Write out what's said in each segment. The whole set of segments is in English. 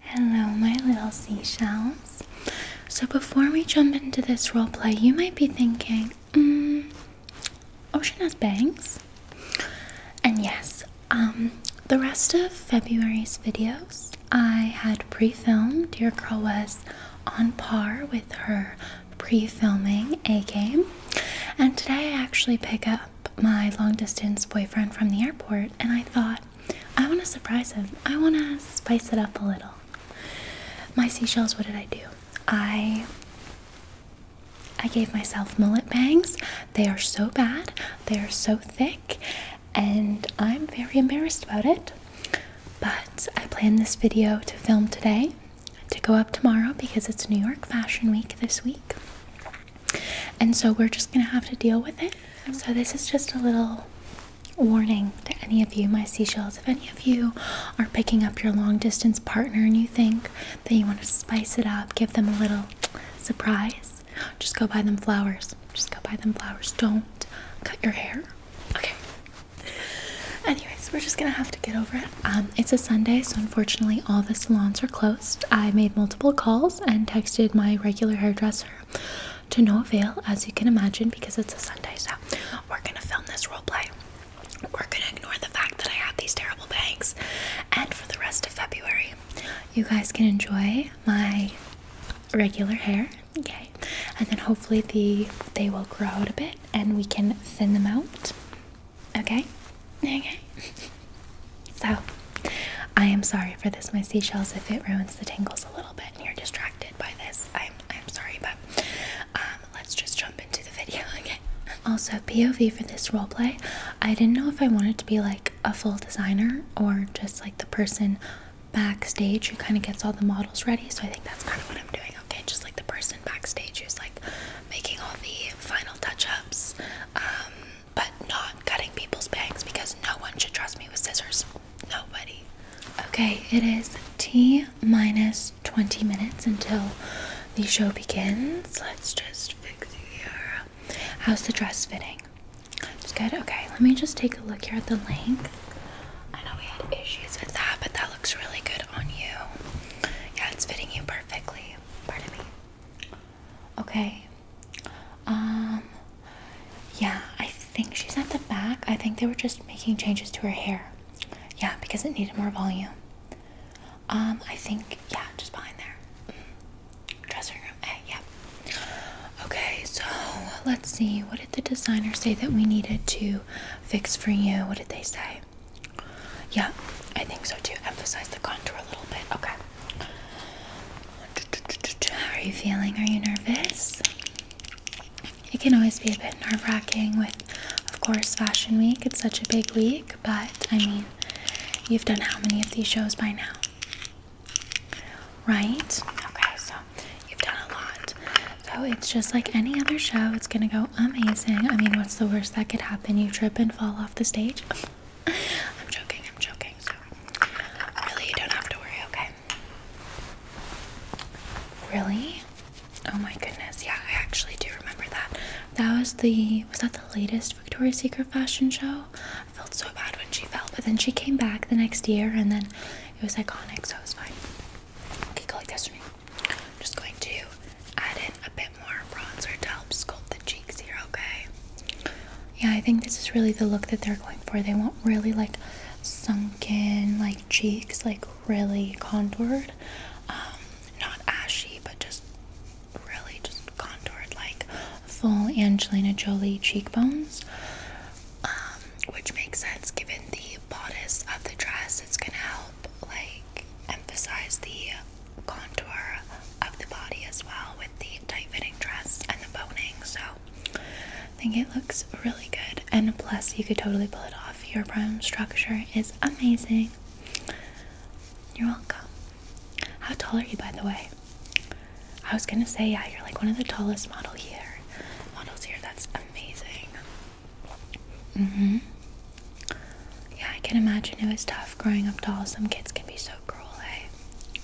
Hello, my little seashells. So, before we jump into this roleplay, you might be thinking, hmm, Ocean has bangs. And yes, um, the rest of February's videos I had pre filmed. Dear Girl was on par with her pre filming A game. And today I actually pick up my long distance boyfriend from the airport, and I thought, I want to surprise him. I want to spice it up a little. My seashells, what did I do? I I gave myself mullet bangs. They are so bad. They are so thick and I'm very embarrassed about it. But I plan this video to film today to go up tomorrow because it's New York Fashion Week this week and so we're just gonna have to deal with it. So, this is just a little warning to any of you, my seashells. If any of you are picking up your long distance partner and you think that you want to spice it up, give them a little surprise, just go buy them flowers. Just go buy them flowers. Don't cut your hair. Okay. Anyways, we're just gonna have to get over it. Um, it's a Sunday, so unfortunately, all the salons are closed. I made multiple calls and texted my regular hairdresser to no avail, as you can imagine, because it's a Sunday. So we're gonna film this role play. We're gonna ignore the fact that I have these terrible bangs, and for the rest of February, you guys can enjoy my regular hair. Okay, and then hopefully the they will grow out a bit, and we can thin them out. Okay, okay. So, I am sorry for this, my seashells, if it ruins the tangles a little bit and you're distracted by this. I'm, I'm sorry, but um, let's just jump into the video again. Also, POV for this roleplay, I didn't know if I wanted to be like a full designer or just like the person backstage who kind of gets all the models ready. So, I think that's kind of what I'm doing, okay? Just like the person backstage who's like making all the final touch ups. Um, but not cutting people's bangs because no one should trust me with scissors. Nobody. Okay, it is T minus 20 minutes until the show begins. Let's just fix the here. How's the dress fitting? It's good. Okay, let me just take a look here at the length. I know we had issues with that, but that looks really good on you. Yeah, it's fitting you perfectly. Pardon me. Okay. Um yeah, I think she's at the back. I think they were just making changes to her hair. Yeah, because it needed more volume. Um, I think yeah, just behind there. Mm-hmm. Dressing room. A, eh, yeah. Okay, so let's see. What did the designer say that we needed to fix for you? What did they say? Yeah, I think so To Emphasize the contour a little bit. Okay. How are you feeling? Are you nervous? It can always be a bit nerve wracking with, of course, Fashion Week. It's such a big week, but I mean, you've done how many of these shows by now? Right? Okay, so you've done a lot. So it's just like any other show, it's gonna go amazing. I mean, what's the worst that could happen? You trip and fall off the stage. I'm joking, I'm joking, so really you don't have to worry, okay? Really? Oh my goodness, yeah, I actually do remember that. That was the was that the latest Victoria's Secret fashion show? I felt so bad when she fell, but then she came back the next year and then it was iconic, so it was fine. Okay, go like this for me. I'm just going to add in a bit more bronzer to help sculpt the cheeks here, okay? Yeah, I think this is really the look that they're going for. They want really like sunken, like cheeks, like really contoured. Um, not ashy, but just really just contoured, like full Angelina Jolie cheekbones. Um, which makes sense given the bodice of the dress. It's gonna help like emphasize the contour of the body as well with the tight fitting dress and the boning. So I think it looks really good. And plus, you could totally pull it off. Your bone structure is amazing. You're welcome. How tall are you, by the way? I was gonna say, yeah, you're like one of the tallest models here. Models here, that's amazing. Mm-hmm. Yeah, I can imagine it was tough growing up tall. Some kids can be so cruel, eh?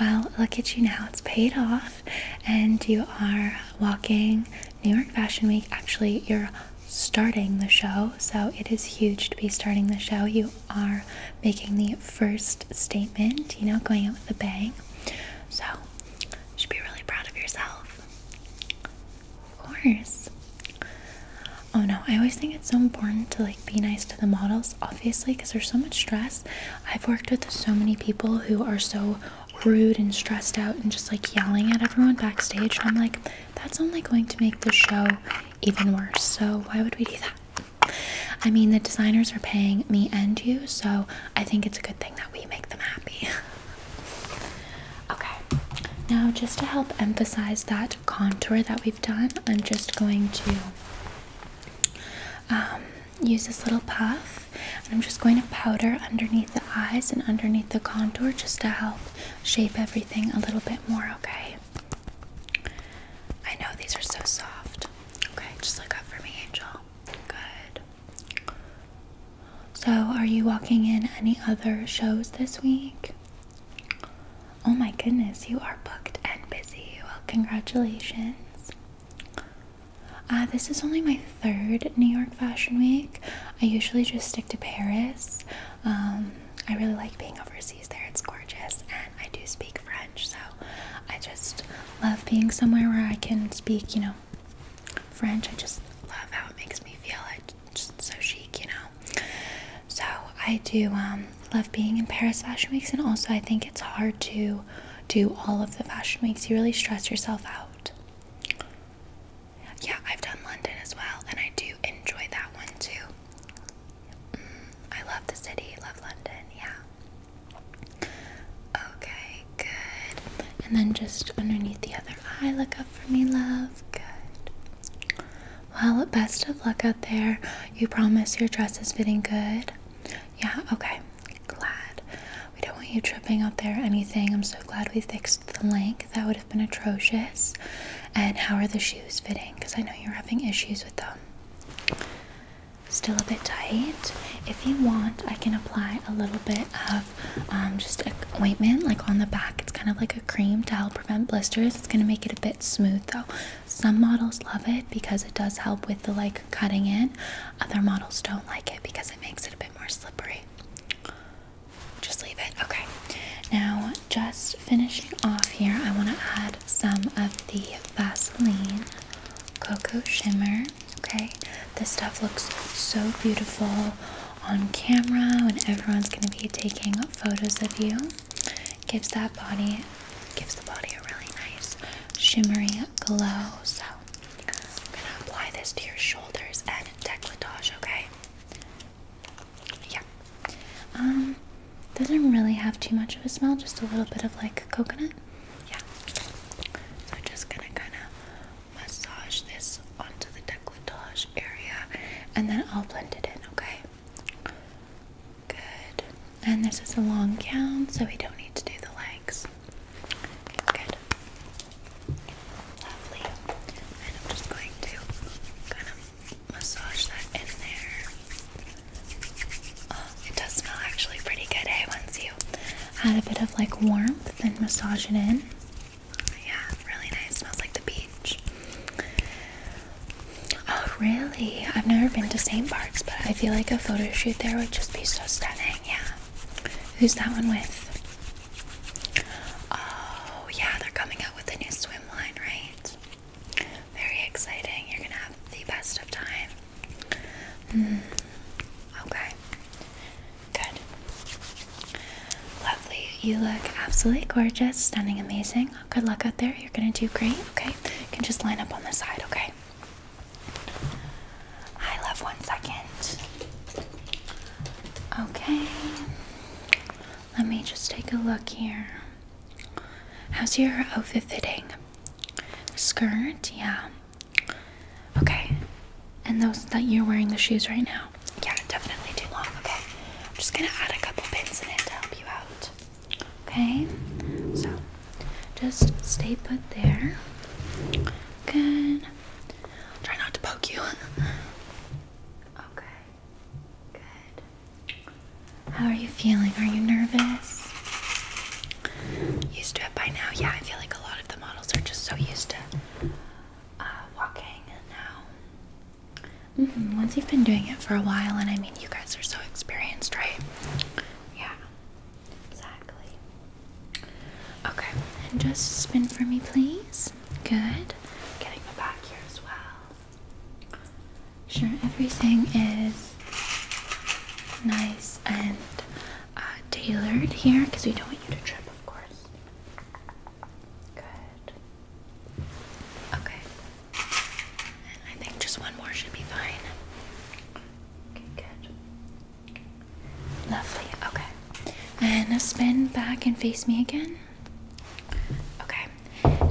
Well, look at you now. It's paid off, and you are walking New York Fashion Week. Actually, you're starting the show, so it is huge to be starting the show. You are making the first statement, you know, going out with a bang. So, you should be really proud of yourself. Of course. Oh no, I always think it's so important to like be nice to the models, obviously, because there's so much stress. I've worked with so many people who are so rude and stressed out and just like yelling at everyone backstage. And I'm like, that's only going to make the show even worse. So why would we do that? I mean, the designers are paying me and you, so I think it's a good thing that we make them happy. okay, now just to help emphasize that contour that we've done, I'm just going to um, use this little puff and I'm just going to powder underneath the eyes and underneath the contour just to help shape everything a little bit more, okay? I know these are so soft. Okay, just look up for me, Angel. Good. So, are you walking in any other shows this week? Oh my goodness, you are booked and busy. Well, congratulations. Uh, this is only my third New York Fashion Week. I usually just stick to Paris. Um, I really like being overseas there, it's gorgeous, and I do speak French, so I just love being somewhere where I can speak, you know, French. I just love how it makes me feel. It just so chic, you know. So I do um, love being in Paris Fashion Weeks, and also I think it's hard to do all of the fashion weeks. You really stress yourself out. Yeah, I've done London as well, and I do enjoy that one too. Mm, I love the city, love London, yeah. Okay, good. And then just underneath the other eye, look up for me, love? Good. Well, best of luck out there. You promise your dress is fitting good? Yeah, okay. Glad. We don't want you tripping out there anything. I'm so glad we fixed the length. That would have been atrocious. And how are the shoes fitting? Because I know you're having issues with them. Still a bit tight. If you want, I can apply a little bit of um, just a ointment like on the back it's kind of like a cream to help prevent blisters. It's going to make it a bit smooth though. Some models love it because it does help with the like cutting in. Other models don't like it because it makes it a bit more slippery. Just leave it. Okay. Now, just finishing off here, I want to add some of the Vaseline Cocoa Shimmer. Okay. This stuff looks so beautiful on camera when everyone's going to be taking photos of you. Gives that body, gives the body a really nice shimmery glow. So I'm gonna apply this to your shoulders and decolletage. Okay. Yeah. Um, doesn't really have too much of a smell. Just a little bit of like coconut. Yeah. So I'm just gonna kind of massage this onto the decolletage area and then I'll blend it in, okay? Good. And this is a long gown, so we don't need to do the legs. Good. Lovely. And I'm just going to kind of massage that in there. Oh, it does smell actually pretty good, eh? Once you add a bit of like warmth and massage it in. Yeah, really nice. Smells like the beach. Oh, really? I've never been to St. Bart's, but I feel like a photo shoot there would just be so stunning. Yeah. Who's that one with? Oh, yeah, they're coming out with a new swim line, right? Very exciting. You're gonna have the best of time. Mm. Okay. Good. Lovely. You look absolutely gorgeous, stunning, amazing. Good luck out there. You're going to do great, okay? You can just line up on the side, okay? I love one second. Okay. Let me just take a look here. How's your outfit fitting? Skirt, yeah. Okay. And those that you're wearing the shoes right now. Yeah, definitely too long. Okay, I'm just gonna add a couple pins in it to help you out. Okay, so just stay put there. Good. Try not to poke you. okay, good. How are you feeling? Are you nervous? Used to it by now. Yeah, I feel like a lot of the models are just so used to uh, walking now. Mm-hmm. Once you've been doing it for a while, and I mean, you guys are so experienced, right? Yeah, exactly. Okay, and just spin for me, please. Good. Getting the back here as well. Sure, everything is nice and uh, tailored here because we don't want you to trip, of course. Good. Okay. And I think just one more should be fine. Okay, good. Lovely. Okay. And spin back and face me again. Okay.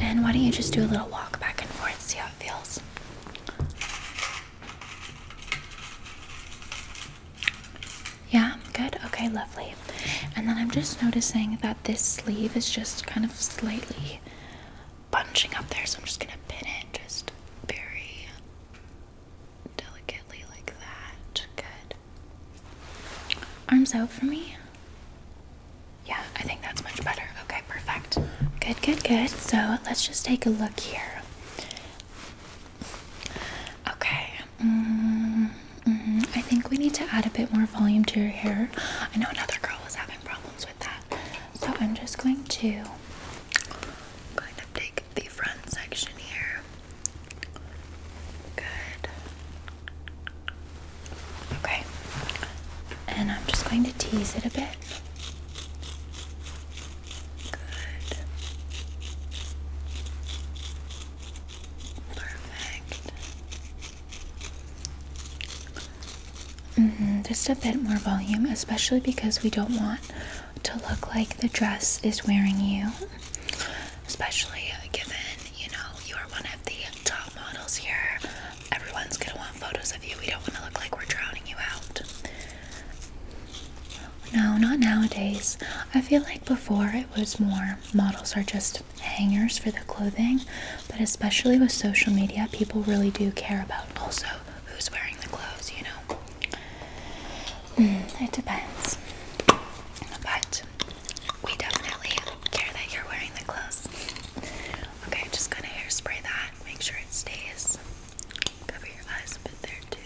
And why don't you just do a little walk back and forth, see how it feels? Yeah, good. Okay, lovely. And then I'm just noticing that this sleeve is just kind of slightly bunching up there, so I'm just gonna pin it just very delicately like that. Good. Arms out for me. Yeah, I think that's much better. Okay, perfect. Good, good, good. So let's just take a look here. Okay. -hmm. I think we need to add a bit more volume to your hair. I know another girl was having problems with that. So I'm just going to I'm take the front section here. Good. Okay. And I'm just going to tease it a bit. Good. Perfect. Mm-hmm, just a bit more volume, especially because we don't want to look like the dress is wearing you. Especially given, you know, you're one of the top models here. Everyone's gonna want photos of you. We don't want to look like we're drowning you out. No, not nowadays. I feel like before it was more models are just hangers for the clothing, but especially with social media, people really do care about also who's wearing the clothes, you know? Mm, it depends. But we definitely care that you're wearing the clothes. Okay, just gonna hairspray that, make sure it stays. Cover your eyes a bit there too.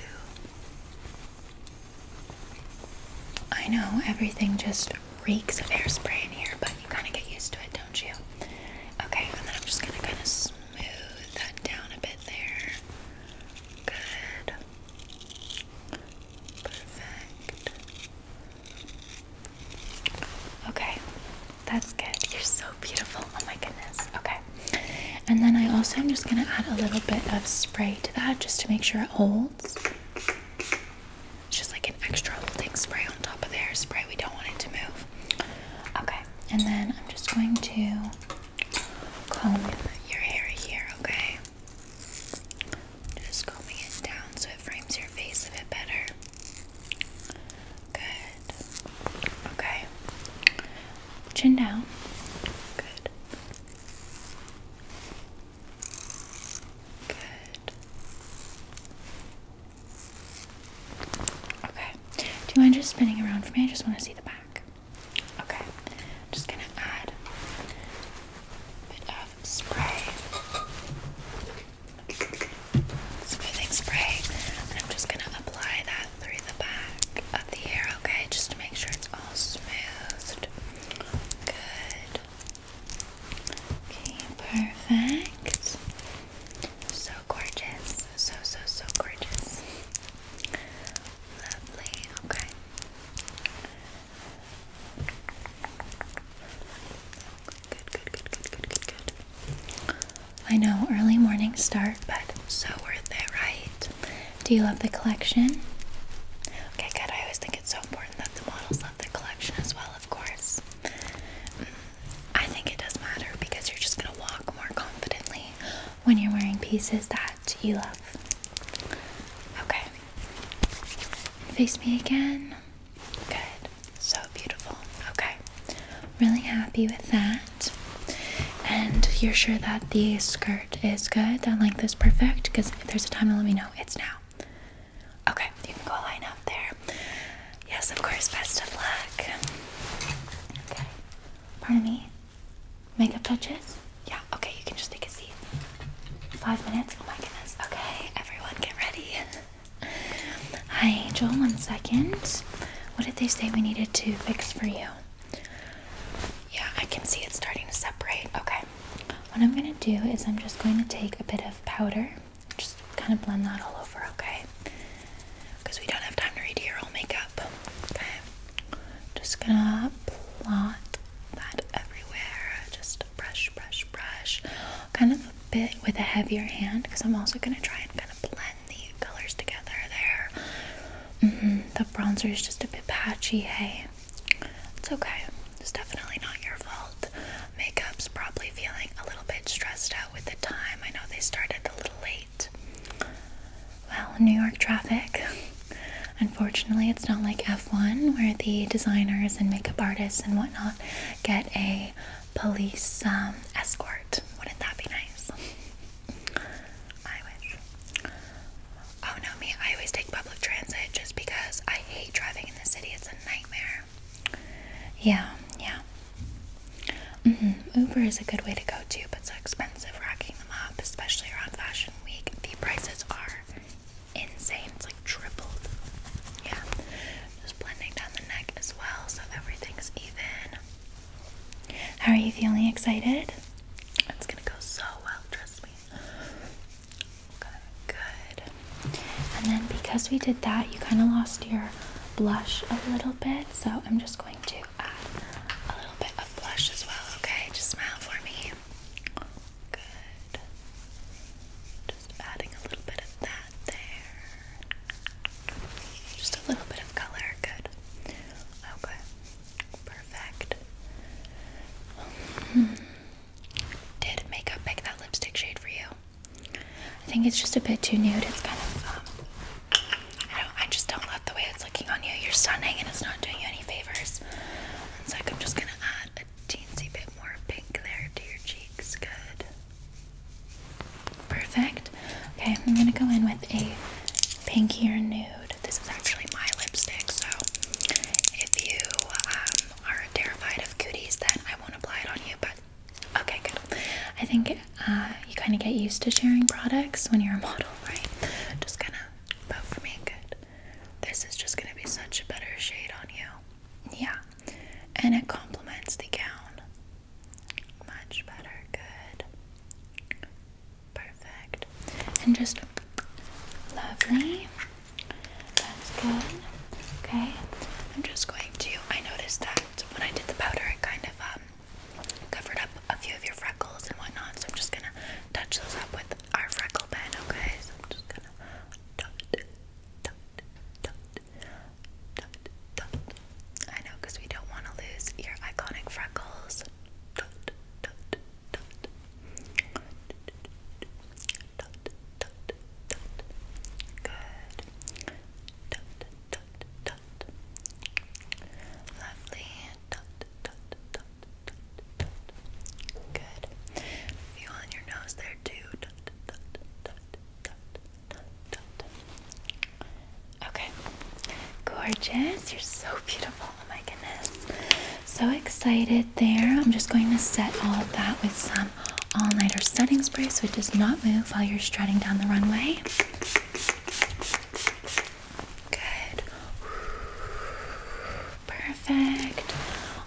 I know everything just reeks of hairspray in here, but you kind of get used to it, don't you? Okay, and then I'm just going to kind of smooth that down a bit there. Good. Perfect. Okay, that's good. You're so beautiful. Oh my goodness. Okay, and then I also am just going to add a little bit of spray to that just to make sure it holds. It's just like an extra holding spray on top of the hairspray. We don't want it to move. Okay. And then I'm just going to comb your hair here, okay? Just combing it down so it frames your face a bit better. Good. Okay. Chin down. Good. Good. Okay. Do you mind just spinning around for me? I just want to see the back. Okay. just gonna add a bit of spray. Smoothing spray. And I'm just gonna apply that through the back of the hair, okay? Just to make sure it's all smoothed. Good. Okay, perfect. So gorgeous. So, so, so gorgeous. Lovely, okay. Good, good, good, good, good, good, good. I know, early morning start, but so worth it, right? Do you love the collection? Okay, good. I always think it's so important that the models love the collection as well, of course. I think it does matter because you're just going to walk more confidently when you're wearing pieces that you love. Okay. Face me again. Good. So beautiful. Okay. Really happy with that. And you're sure that the skirt is good, that length is perfect? Because if there's a time to let me know, it's now. Okay, you can go line up there. Yes, of course, best of luck. Okay, pardon me. Makeup touches? Yeah, okay, you can just take a seat. Five minutes? Oh my goodness. Okay, everyone get ready. Hi, Angel, one second. What did they say we needed to fix for you? Yeah, I can see it's starting to separate. Okay. What I'm going to do is I'm just going to take a bit of powder, just kind of blend that all over, okay? Because we don't have time to redo your whole makeup. Okay. Just going to plot that everywhere. Just brush, brush, brush. Kind of a bit with a heavier hand because I'm also going to try and kind of blend the colors together there. Mm-hmm. The bronzer is just a bit patchy, hey? It's okay. It's definitely not your fault. Makeup's probably feeling a little bit stressed out with the time. I know they started a little late. Well, New York traffic. Unfortunately, it's not like F1 where the designers and makeup artists and whatnot get a police um, escort. Wouldn't that be nice? I Oh no, me, I always take public transit just because I hate driving in the city. It's a nightmare. Yeah, yeah. Mm-hmm. Uber is a good way to go too, but so expensive racking them up, especially around Fashion Week. The prices are insane. It's like tripled. Yeah. Just blending down the neck as well so everything's even. How are you feeling? Excited? It's gonna go so well, trust me. good. And then because we did that, you kind of lost your blush a little bit, so I'm just going to add a little bit of blush as well, okay? Just smile for me. Good. Just adding a little bit of that there. Just a little bit of color, good. Okay, perfect. Hmm. Did makeup pick that lipstick shade for you? I think it's just a bit too nude. It's kind of, um, I don't, I just don't love the way it's looking on you. You're stunning and it's not doing you any favors. One sec, I'm just gonna add a teensy bit more pink there to your cheeks. Good. Perfect. Okay, I'm gonna go in with a pinkier nude. This is actually my lipstick, so if you um, are terrified of cooties, then I won't apply it on you. But okay, good. I think uh, you kind of get used to sharing products when you're a model, right? Just gonna vote for me. Good. This is just gonna be such a better shade on you. Yeah, and it complements the gown. Much better. Good. Perfect. And just lovely. That's good. Okay. I'm just going to. I noticed that when I did the powder, it kind of um, covered up a few of your freckles and whatnot. So I'm just gonna touch those up with our freckle pen. Okay. So I'm just gonna I know, because we don't want to lose your iconic freckles. Good. Lovely. Good. Feel on your nose there too. Okay, gorgeous. You're so beautiful. Oh my goodness. So excited there. I'm just going to set all of that with some all nighter setting spray so it does not move while you're strutting down the runway. Good. Perfect.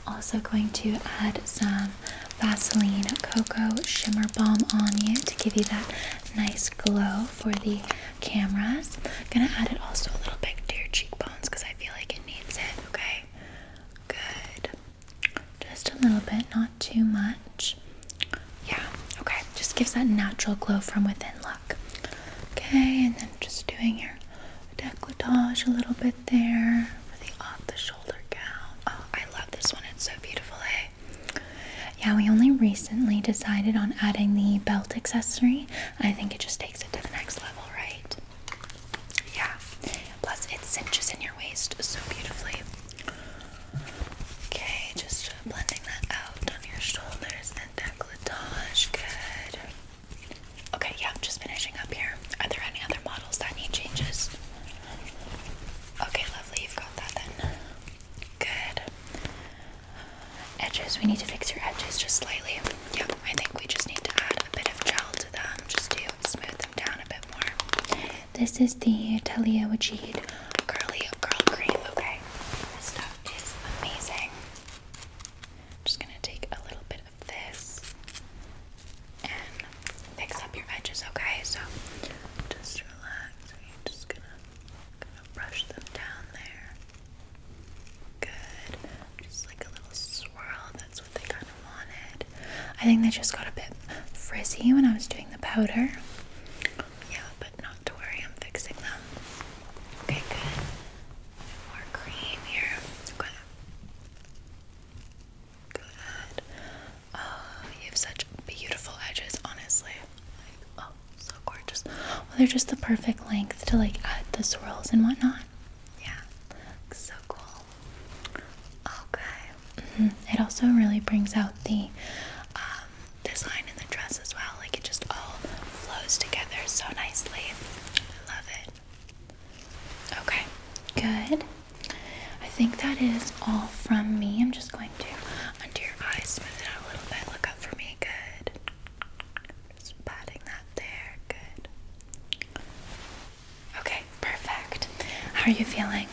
Also, going to add some Vaseline Cocoa Shimmer Balm on you to give you that nice glow for the cameras. I'm gonna add it also a little bit to your cheekbones because I feel like it needs it, okay? Good. Just a little bit, not too much. Yeah, okay. Just gives that natural glow from within look. Okay, and then just doing your decolletage a little bit there for the off the shoulder gown. Oh, I love this one. It's so beautiful, eh? Yeah, we only recently decided on adding the belt accessory. I think it just takes it to the next level, right? Yeah. Plus, it cinches in your waist so beautifully. Okay, just blending that out on your shoulders and decolletage. Good. Okay, yeah, just finishing up here. Are there any other models that need changes? Okay, lovely. You've got that then. Good. Edges, we need to fix your edges just slightly. Yeah, I think we just need to add a bit of gel to them just to smooth them down a bit more. This is the Talia Wajid Curly Curl Cream. Okay, this stuff is amazing. just gonna take a little bit of this and fix up your edges, okay? So just relax, just gonna, gonna brush them down there. Good. Just like a little swirl. That's what they kind of wanted. I think they just got a bit frizzy when I was doing the powder. Yeah, but not to worry, I'm fixing them. Okay, good. More cream here. Okay. Good. Oh, you have such beautiful edges, honestly. Like, oh, so gorgeous. Well, they're just the perfect length to like add the swirls and whatnot. Yeah, so cool. Okay. Mm-hmm. It also really brings out the um, design in the dress as well. Like it just all flows together so nicely. I love it. Okay, good. I think that is all from me. I'm just going to under your eyes, smooth it out a little bit. Look up for me. Good. Just patting that there. Good. Okay, perfect. How are you feeling?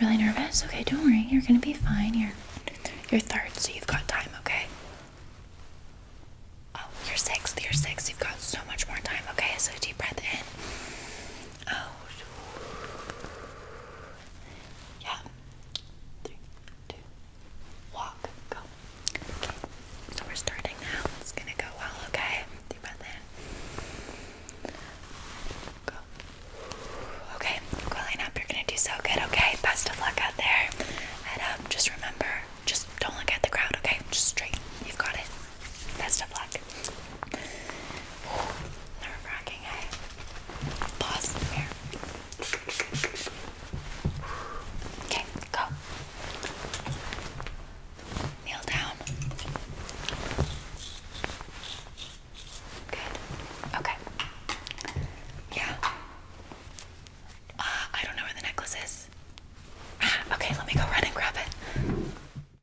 Really nervous? Okay, don't worry. You're gonna be fine. You're you're third, so you've got time. Okay. Oh, you're 6 you You're sixth. You've got so much more time. Okay, so deep breath in out. Yeah. Three, two, walk, go. Okay. So we're starting now. It's gonna go well, okay? Deep breath in. Go. Okay, line up. You're gonna do so good, okay? Best of luck out there. Head up. Um, just remember, just don't look at the crowd, okay? Just straight. You've got it. Best of luck. Nerve wracking, hey? Pause here. Okay, go. Kneel down. Good. Okay. Yeah. Uh, I don't know where the necklace is. okay, let me go run and grab it.